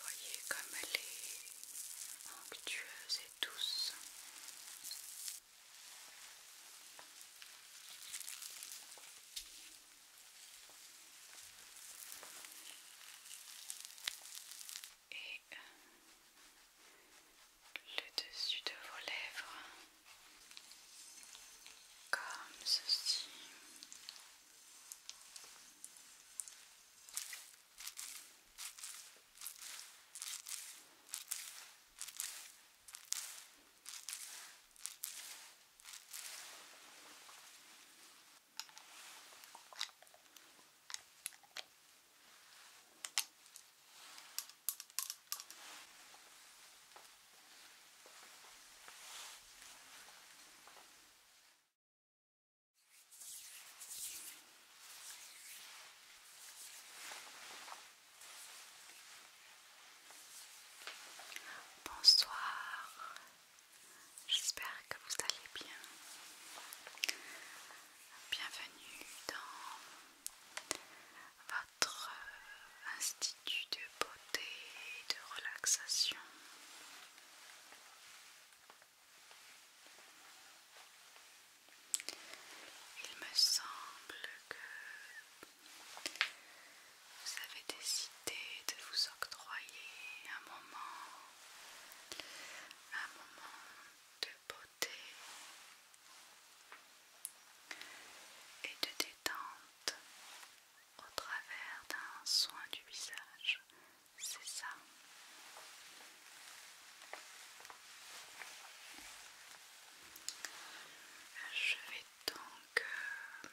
Voyez comme elle est onctueuse et douce. Et euh, le dessus de vos lèvres comme ceci. Bonsoir, j'espère que vous allez bien. Bienvenue dans votre institut de beauté et de relaxation. Il me semble que vous avez décidé de vous octroyer un moment, un moment de beauté et de détente au travers d'un soin du visage, c'est ça. Je vais donc euh,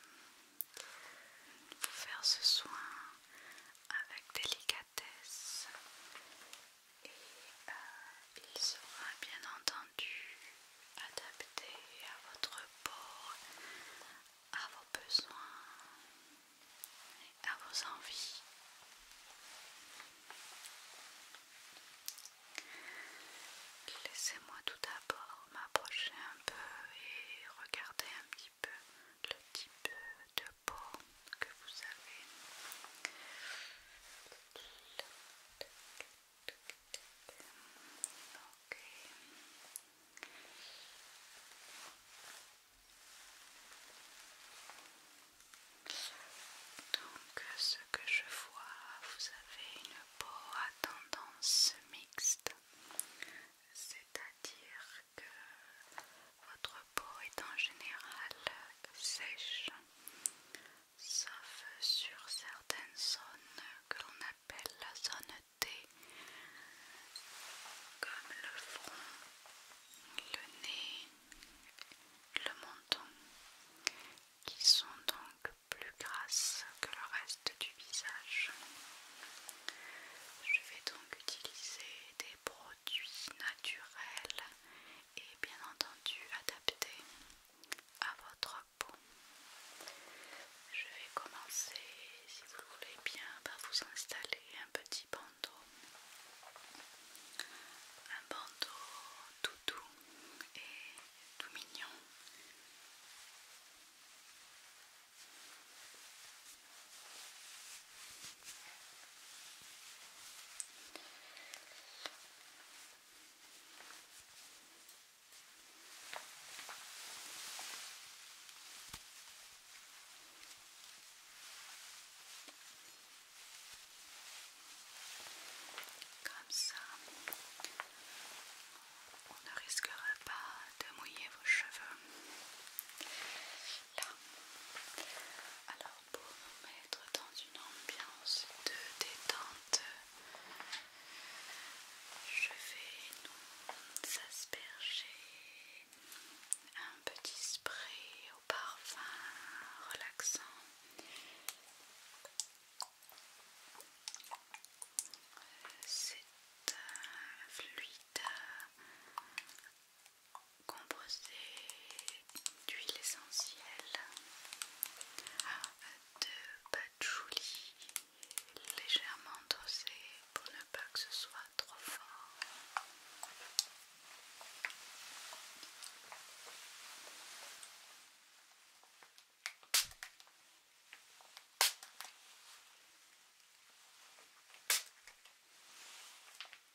vous faire ce soin avec délicatesse et euh, il sera bien entendu adapté à votre port, à vos besoins et à vos envies. Laissez-moi tout d'abord m'approcher un peu et regarder un petit peu le type de peau que vous avez. Donc, ce que je vois, vous avez une peau à tendance mixte, c'est-à-dire que votre peau est en général sèche, sauf sur certaines zones que l'on appelle la zone T, comme le front, le nez, le menton, qui sont donc plus grasses que le reste du visage. Je vais donc utiliser des produits naturel et bien entendu adapté à votre peau. Je vais commencer, si vous le voulez bien, par vous installer un petit bandeau. Un bandeau tout doux et tout mignon. Comme ça, on ne risquera pas de mouiller vos cheveux. alors pour nous mettre dans une ambiance de détente. Je vais nous asperger un petit spray au parfum relaxant. C'est fluide Composé d'huile essentielle, de patchouli légèrement dosé pour ne pas que ce soit trop fort. Voilà,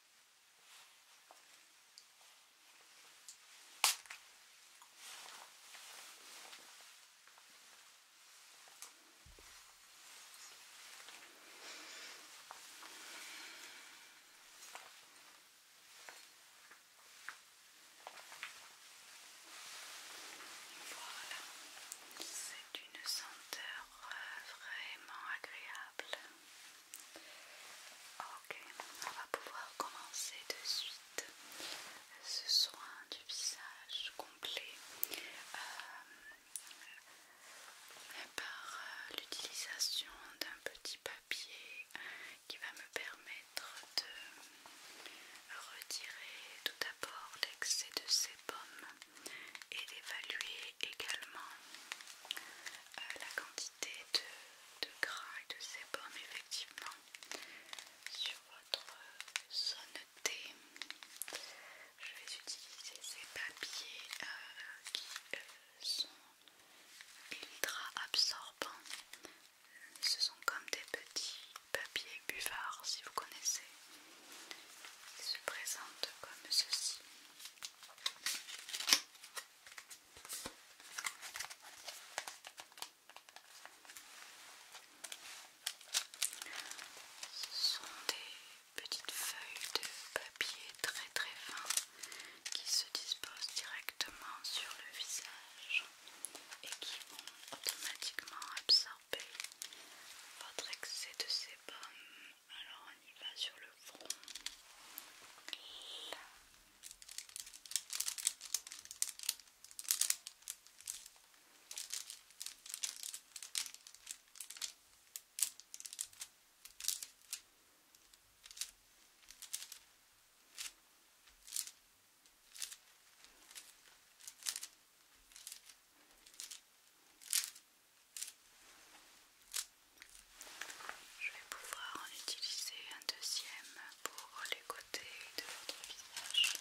c'est une senteur euh, vraiment agréable. Ok, on va pouvoir commencer de suite ce soin du visage complet euh, par euh, l'utilisation d'un petit papier qui va me permettre de retirer tout d'abord l'excès de sébum et d'évaluer également euh, la quantité de, gras et de sébum effectivement sur votre zone T. Je vais utiliser ces papiers euh, qui euh, sont ultra absorbants. Ce sont comme des petits papiers buvards si vous connaissez. Ils se présentent comme ceci. Ce sont des petites feuilles de papier très très fin qui se disposent directement sur le visage et qui vont automatiquement absorber votre excès de sébum alors on y va sur le front. Là. Je vais pouvoir en utiliser un deuxième pour les côtés de votre visage.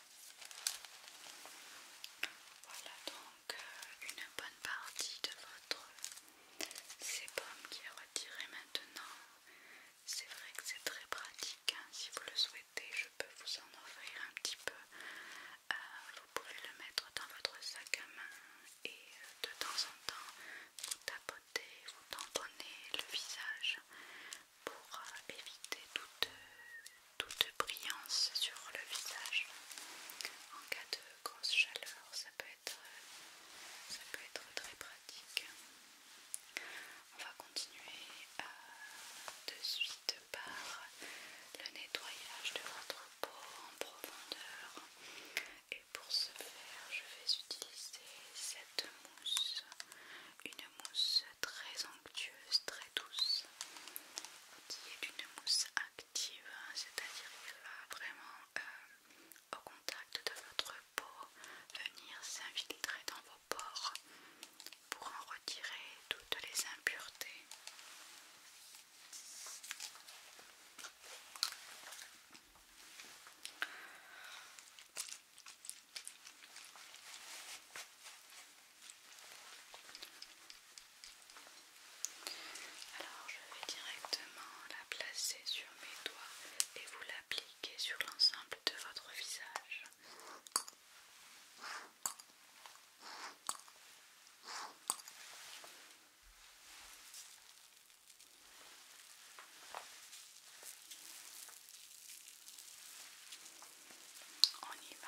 Voilà donc euh, une bonne partie de votre sébum qui est retiré maintenant. C'est vrai que c'est très pratique. Hein. Si vous le souhaitez, je peux vous en offrir un petit peu. Euh, vous pouvez le mettre dans votre sac à main et euh, de temps en temps vous tapotez, vous tamponnez le visage pour éviter toute, toute brillance sur le visage. En cas de grosse chaleur, ça peut être, euh, ça peut être très pratique. On va continuer à euh, de suite par le nettoyage de votre peau en profondeur. Et pour ce faire, je vais utiliser cette mousse, une mousse très très douce, qui est une mousse active, hein, c'est-à-dire qu'elle va vraiment euh, au contact de votre peau venir s'infiltrer dans vos pores pour en retirer toutes les impuretés. Alors je vais directement la placer sur mes doigts et vous l'appliquer sur l'ensemble de votre visage. On y va.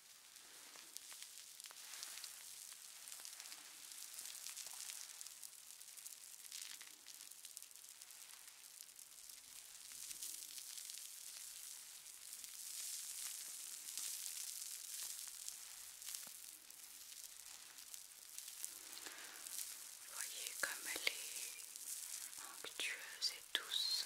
Vous voyez comme elle est onctueuse et douce.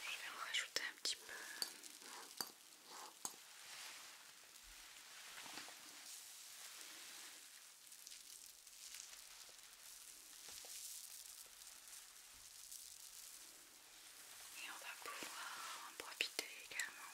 Je vais en rajouter un petit peu. Et on va pouvoir en profiter également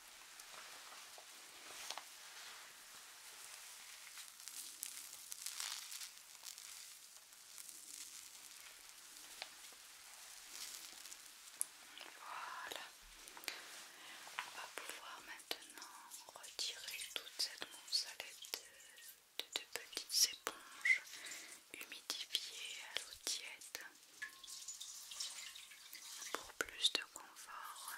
Voilà, on va pouvoir maintenant retirer toute cette moussalette de, de, petites éponges humidifiées à l'eau tiède pour plus de confort.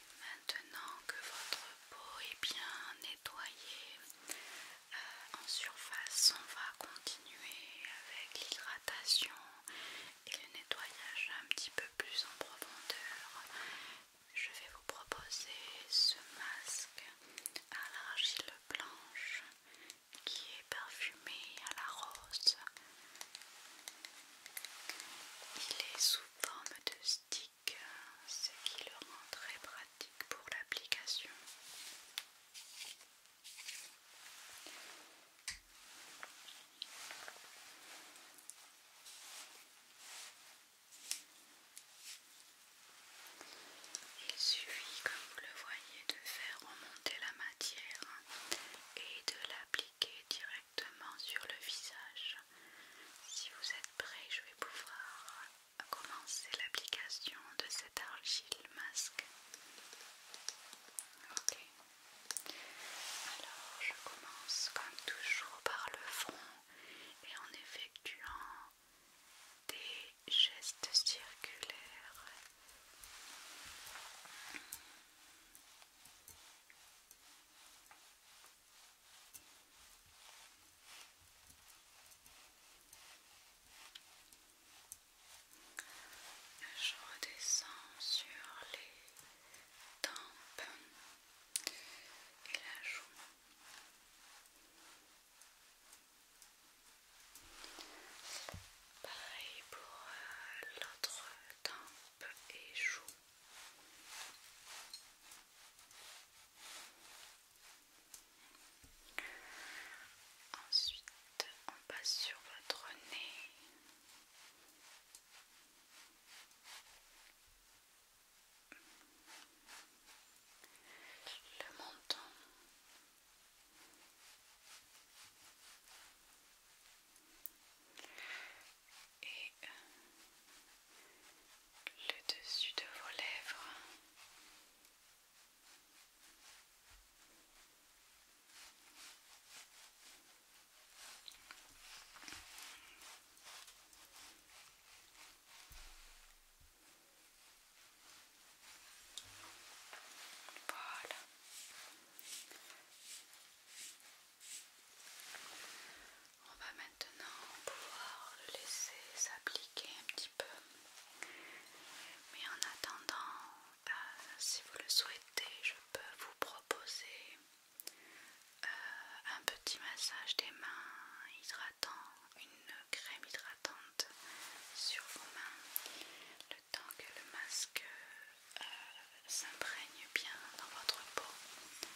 Maintenant que votre peau est bien nettoyée euh, en surface, on va continuer avec l'hydratation et le nettoyage un petit peu plus en profondeur. Je vais vous proposer ce masque à l'argile blanche qui est parfumé à la rose. Il est sous forme de stick ce qui le rend très pratique pour l'application. Il suffit, comme vous le voyez, de faire remonter la matière et de l'appliquer directement sur le visage. Si vous êtes prêts, je vais pouvoir commencer l'application de cette argile masque. Ok. Alors, je commence comme toujours par le front et en effectuant des gestes circulaires. Je redescends sur les tempes et la joue. Pareil pour euh, l'autre tempe et joue. Ensuite, on passe sur votre nez. Le menton et euh, le dessus de vos lèvres. Voilà. On va maintenant pouvoir le laisser s'appliquer un petit peu. Mais en attendant, euh, si vous le souhaitez, je peux vous proposer euh, un petit massage des mains hydratant, une crème hydratante sur vos mains, le temps que le masque euh, s'imprègne bien dans votre peau.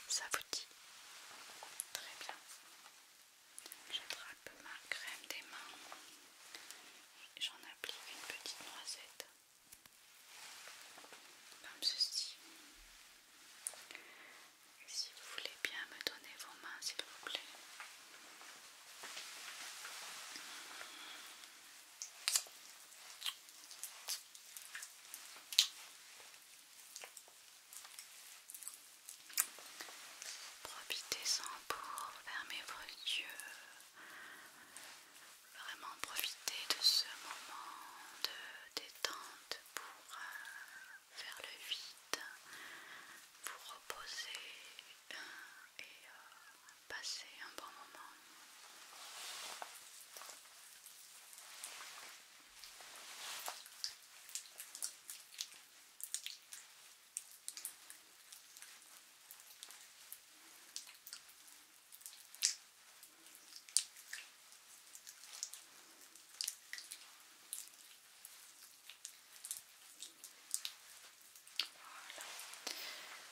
Ça vous dit Très bien. J'attrape ma crème des mains. J'en applique une petite noisette. Comme ceci. si vous voulez bien me donner vos mains, s'il vous plaît. Profitez-en pour fermer vos yeux. Vraiment profitez de ce moment de détente pour euh, faire le vide, vous reposer euh, et euh, passer un bon moment.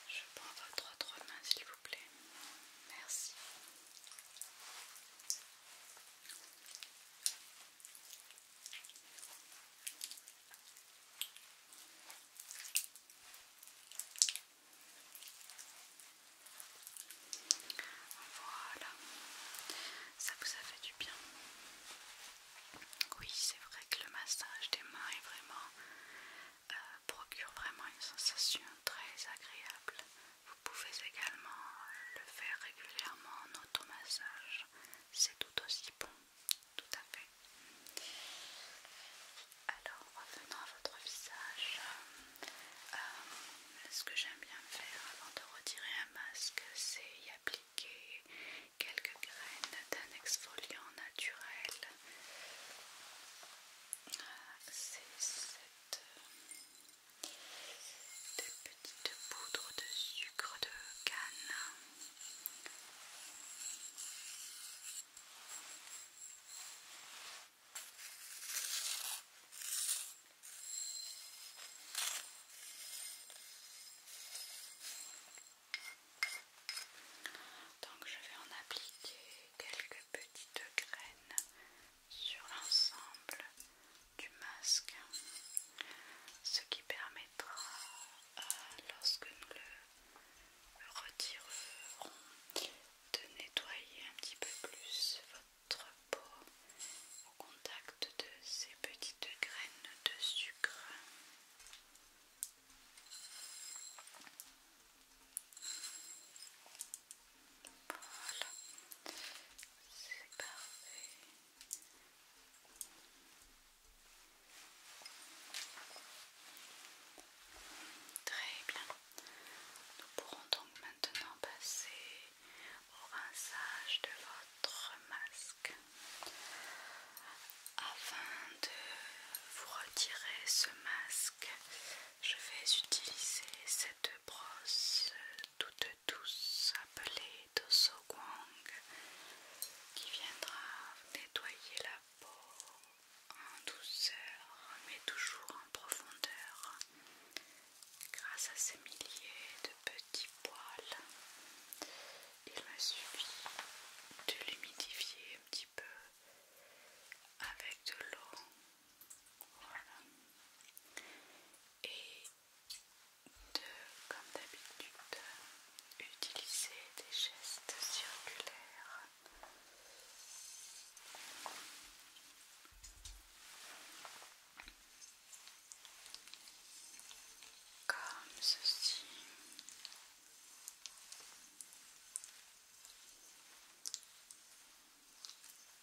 Je prends votre trois main s'il vous plaît. Merci. Voilà, ça vous a fait du bien. Oui, c'est vrai que le massage des mains vraiment, euh, procure vraiment une sensation très agréable. Vous pouvez également le faire régulièrement en automassage, c'est tout aussi bon, tout à fait. Alors revenons à votre visage. Euh, ce que j'aime bien faire avant de retirer un masque, c'est y appliquer quelques graines d'un exfoliant naturel. Euh, c'est cette de petites poudres de sucre de canne. Donc je vais en appliquer quelques petites graines sur l'ensemble du masque, ce qui permettra, euh, lorsque nous le retirerons, de nettoyer un petit peu plus votre peau au contact de ces petites graines de sucre. Voilà, c'est parfait. Très bien. Nous pourrons donc maintenant passer au rinçage de votre masque. Afin de vous retirer ce masque, je vais utiliser cette de brosse toute douce appelée DOSOGWANG Guang qui viendra nettoyer la peau en douceur mais toujours en profondeur grâce à ces milliers de petits poils. Il m'a suffit de l'humidifier un petit peu avec de l'eau et de, comme d'habitude, utiliser des gestes circulaires. Comme ceci.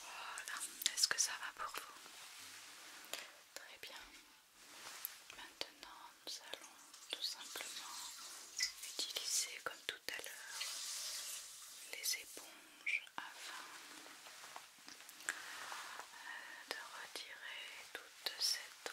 Voilà, est-ce que ça va pour vous Très bien. Maintenant, nous allons tout simplement utiliser comme tout tout à l'heure les éponges afin euh, de retirer toute cette eau.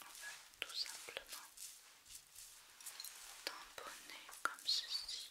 on va tout simplement tamponner comme ceci.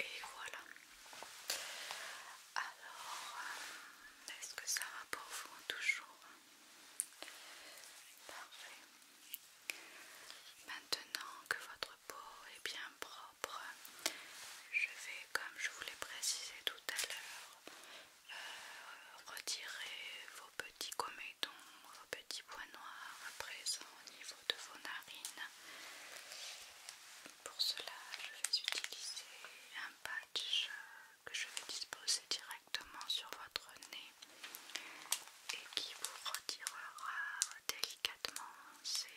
Et voilà. Alors, est-ce que ça va pour vous toujours Parfait. Maintenant que votre peau est bien propre, je vais, comme je vous l'ai précisé tout à l'heure, euh, retirer vos petits comédons, vos petits points noirs à présent au niveau de vos narines. Pour cela, je vais utiliser un patch que je vais disposer directement sur votre nez et qui vous retirera délicatement ces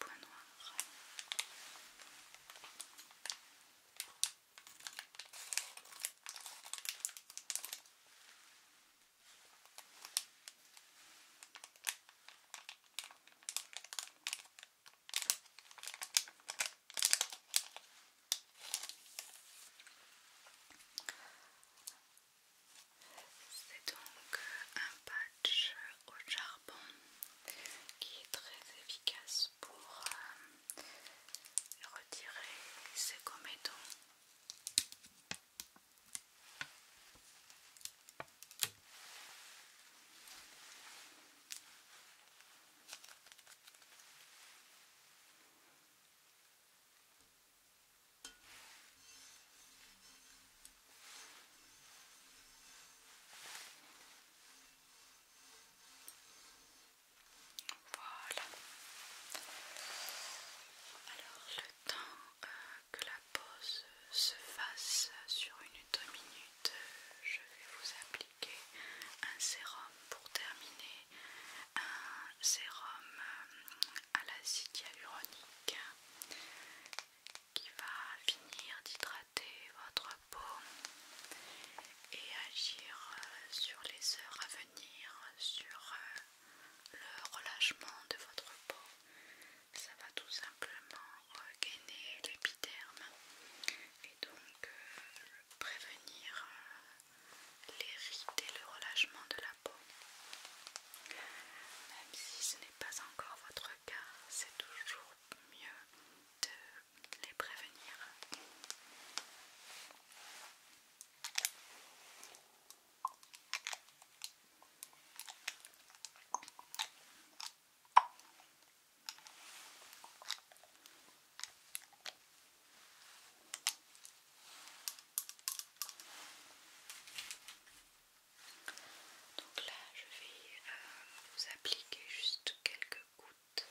points noirs. C'est donc un patch au charbon qui est très efficace pour euh, retirer ses comédons. Voilà. Alors le temps euh, que la pause se fasse sur une ou minute je vais vous appliquer un sérum pour terminer, un sérum euh, à l'acide hyaluronique qui va finir d'hydrater votre peau et agir euh, sur les heures à venir sur euh, le relâchement de votre peau ça va tout simplement regainer euh, l'épiderme et donc euh, prévenir euh, les et le relâchement de la peau. Même si ce n'est pas encore votre cas, c'est toujours mieux de les prévenir. Donc là, je vais euh, vous appliquer juste quelques gouttes.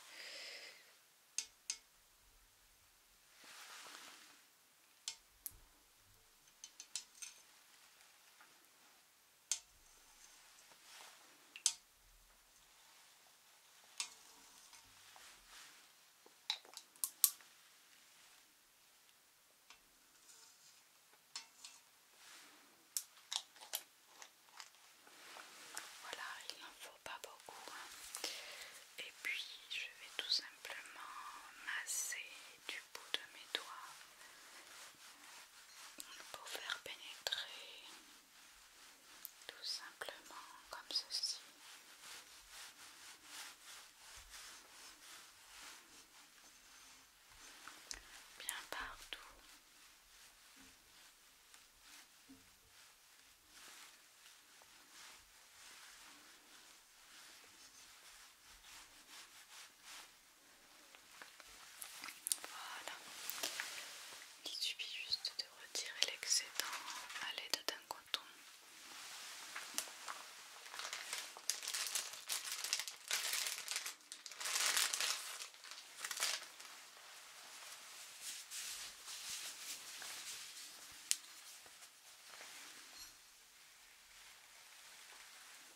Voilà, il n'en faut pas beaucoup. Hein. Et puis je vais tout simplement masser du bout de mes doigts pour faire pénétrer tout simplement comme ceci. Bien partout. Voilà. Il suffit juste de retirer l'excédent à l'aide d'un coton.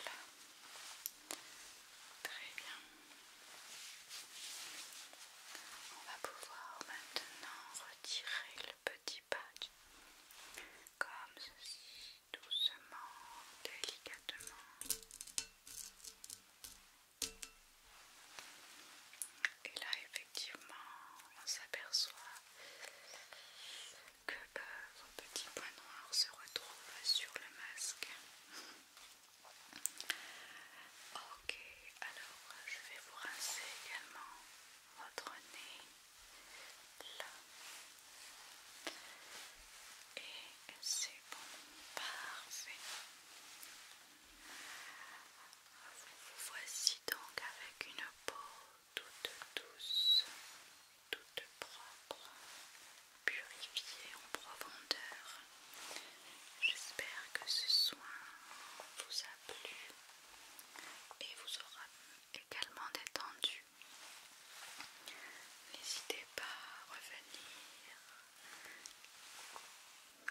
Voilà. Très bien. On va pouvoir maintenant retirer le petit patch comme ceci doucement, délicatement. Et là, effectivement, on s'aperçoit que vos euh, petits points se retrouvent sur le masque. ok, alors je vais vous rincer également votre nez et c'est bon, parfait. Vous voici donc avec une peau toute douce, toute propre, purifiée en profondeur. J'espère que ce soin vous a plu et vous aura également détendu N'hésitez pas à revenir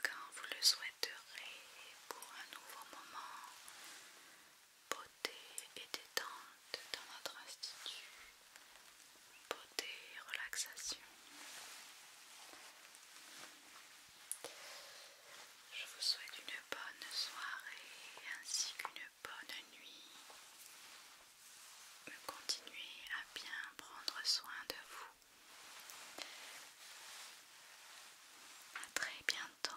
quand vous le souhaiterez pour un nouveau moment beauté et détente dans notre institut. Beauté et relaxation. Je vous souhaite une bonne soirée ainsi qu'une bonne nuit. Continuez à bien prendre soin de vous. À très bientôt.